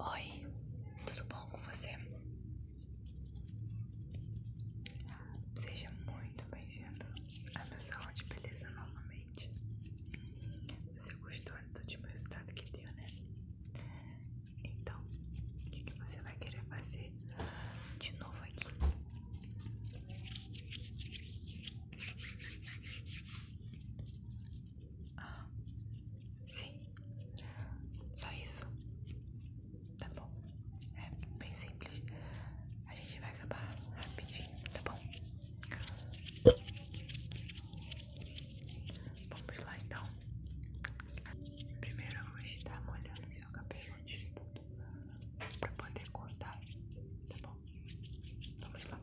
Oi, tudo bom com você? Seja muito bem-vindo à minha sala de beleza novamente. Você gostou do tipo resultado que deu, né? Então, o que, que você vai querer fazer de novo aqui? Ah, sim. Só isso. Tá bom. É bem simples. A gente vai acabar rapidinho, tá bom? Vamos lá então. Primeiro eu vou estar molhando seu cabelo de tudo pra poder cortar, tá bom? Vamos lá.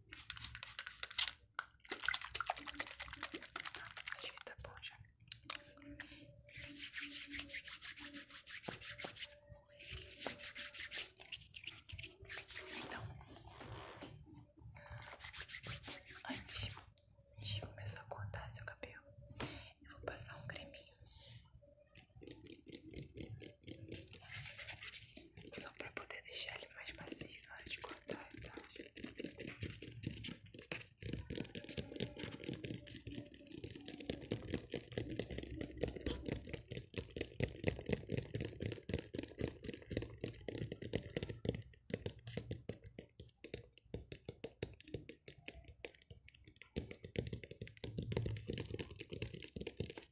Tá, acho que tá bom já. Então, antes de começar a cortar seu cabelo, eu vou passar um creminho. Só para poder deixar ele mais macio na né, de cortar tá?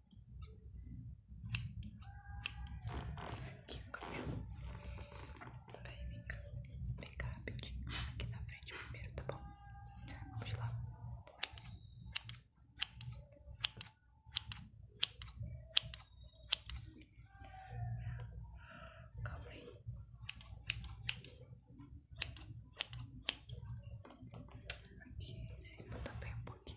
Aqui o vem cá. Vem cá rapidinho. Aqui na frente primeiro, tá bom? Vamos lá. Calma aí. Aqui em cima também tá um pouquinho.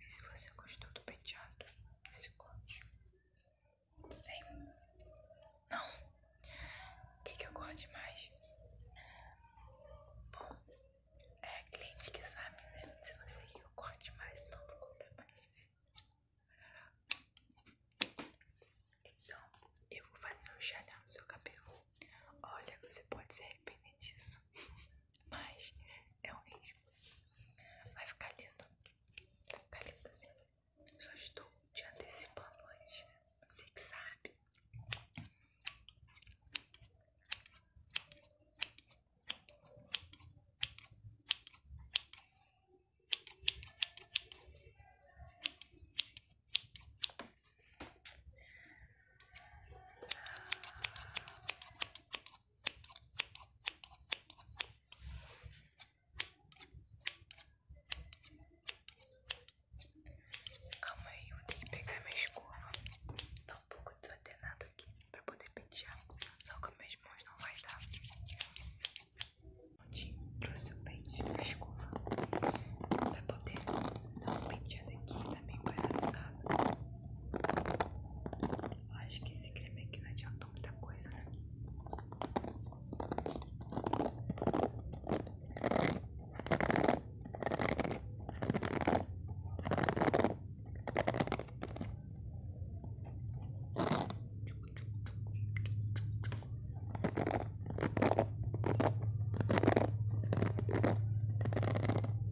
E se você gostou do penteado, esse corte? Tem? Não? O que, que eu gosto mais? Bom, é a cliente que sabe, né? Se você quer que eu corte mais, então vou contar mais. Então, eu vou fazer um chanel no seu cabelo. Olha, você pode se arrepender disso. Mas é um Vai ficar lindo. Vai ficar lindo assim. Só estou te antecipando hoje, Você que sabe. Calma aí, eu vou ter que pegar minha escova. Tá um pouco desatenado aqui pra poder pentear. Só com minhas mãos não vai dar. Prontinho trouxe o pente na escova. Pra poder dar um penteado aqui, tá meio embaraçado acho que esse creme aqui não adiantou muita coisa, né?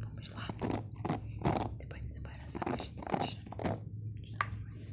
Vamos lá. Depois de embaraçar bastante. Já tá foi.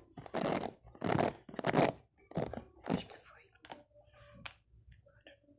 Acho que foi. Agora. Bom.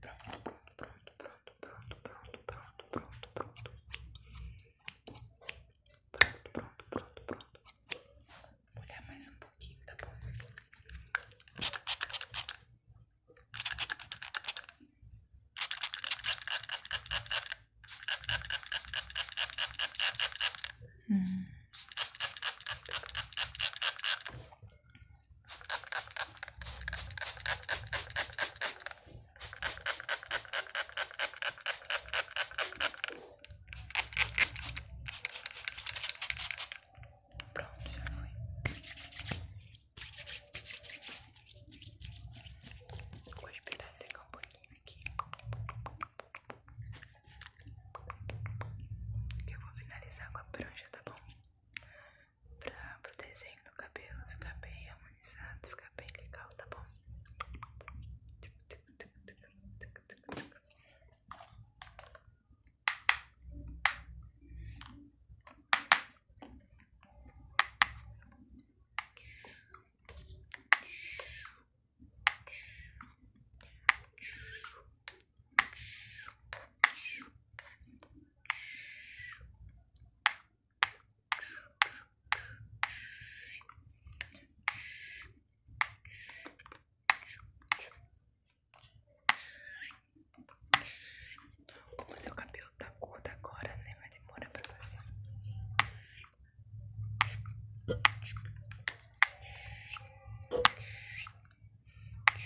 Pronto, pronto, pronto, pronto, pronto, pronto, pronto, pronto, pronto. Pronto, pronto, pronto, pronto. Vou molhar mais um pouquinho, tá bom? Hum. Pronto, já foi. Vou esperar secar um pouquinho aqui. Eu vou finalizar com a prancha, tá bom? pra o desenho do cabelo ficar bem harmonizado, ficar bem legal, tá bom? Como seu cabelo tá curto agora, né? Vai demorar para fazer Pronto,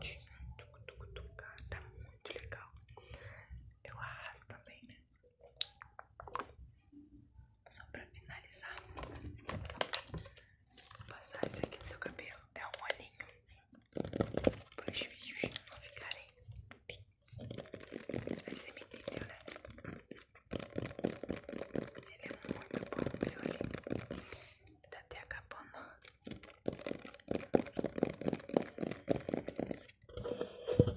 tuc, tuc, tuc, tá muito legal. Eu arrasto também, né? Só pra finalizar, Vou passar esse aqui no seu cabelo. É um olhinho para os fios não ficarem. Mas você me entendeu, né? Ele é muito bom esse olhinho. Tá até acabando. Vou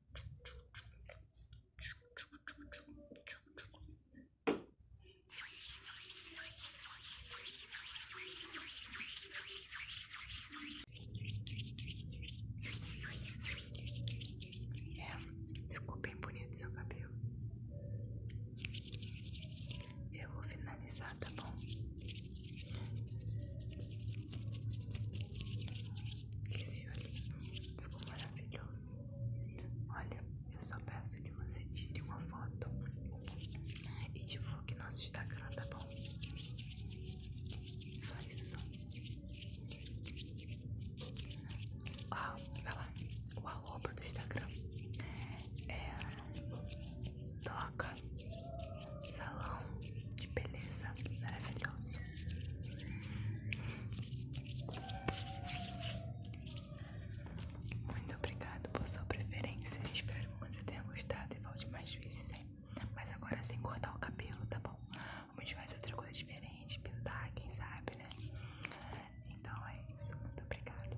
É, ficou bem bonito seu cabelo. Eu vou finalizar, tá bom? Esse lindo, ficou maravilhoso. Olha, eu só peço que você tire uma foto e divulgue nosso Instagram, tá bom? Só isso, só. Ah, vai lá. O arroba do Instagram é. Toca salão de beleza maravilhoso. Muito obrigado por sua preferência. Espero que você tenha gostado e volte mais vezes, hein? Mas agora sem cortar o cabelo, tá bom? Vamos fazer outra coisa diferente, pintar, quem sabe, né? Então é isso. Muito obrigado.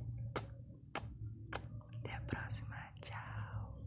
Até a próxima. Tchau.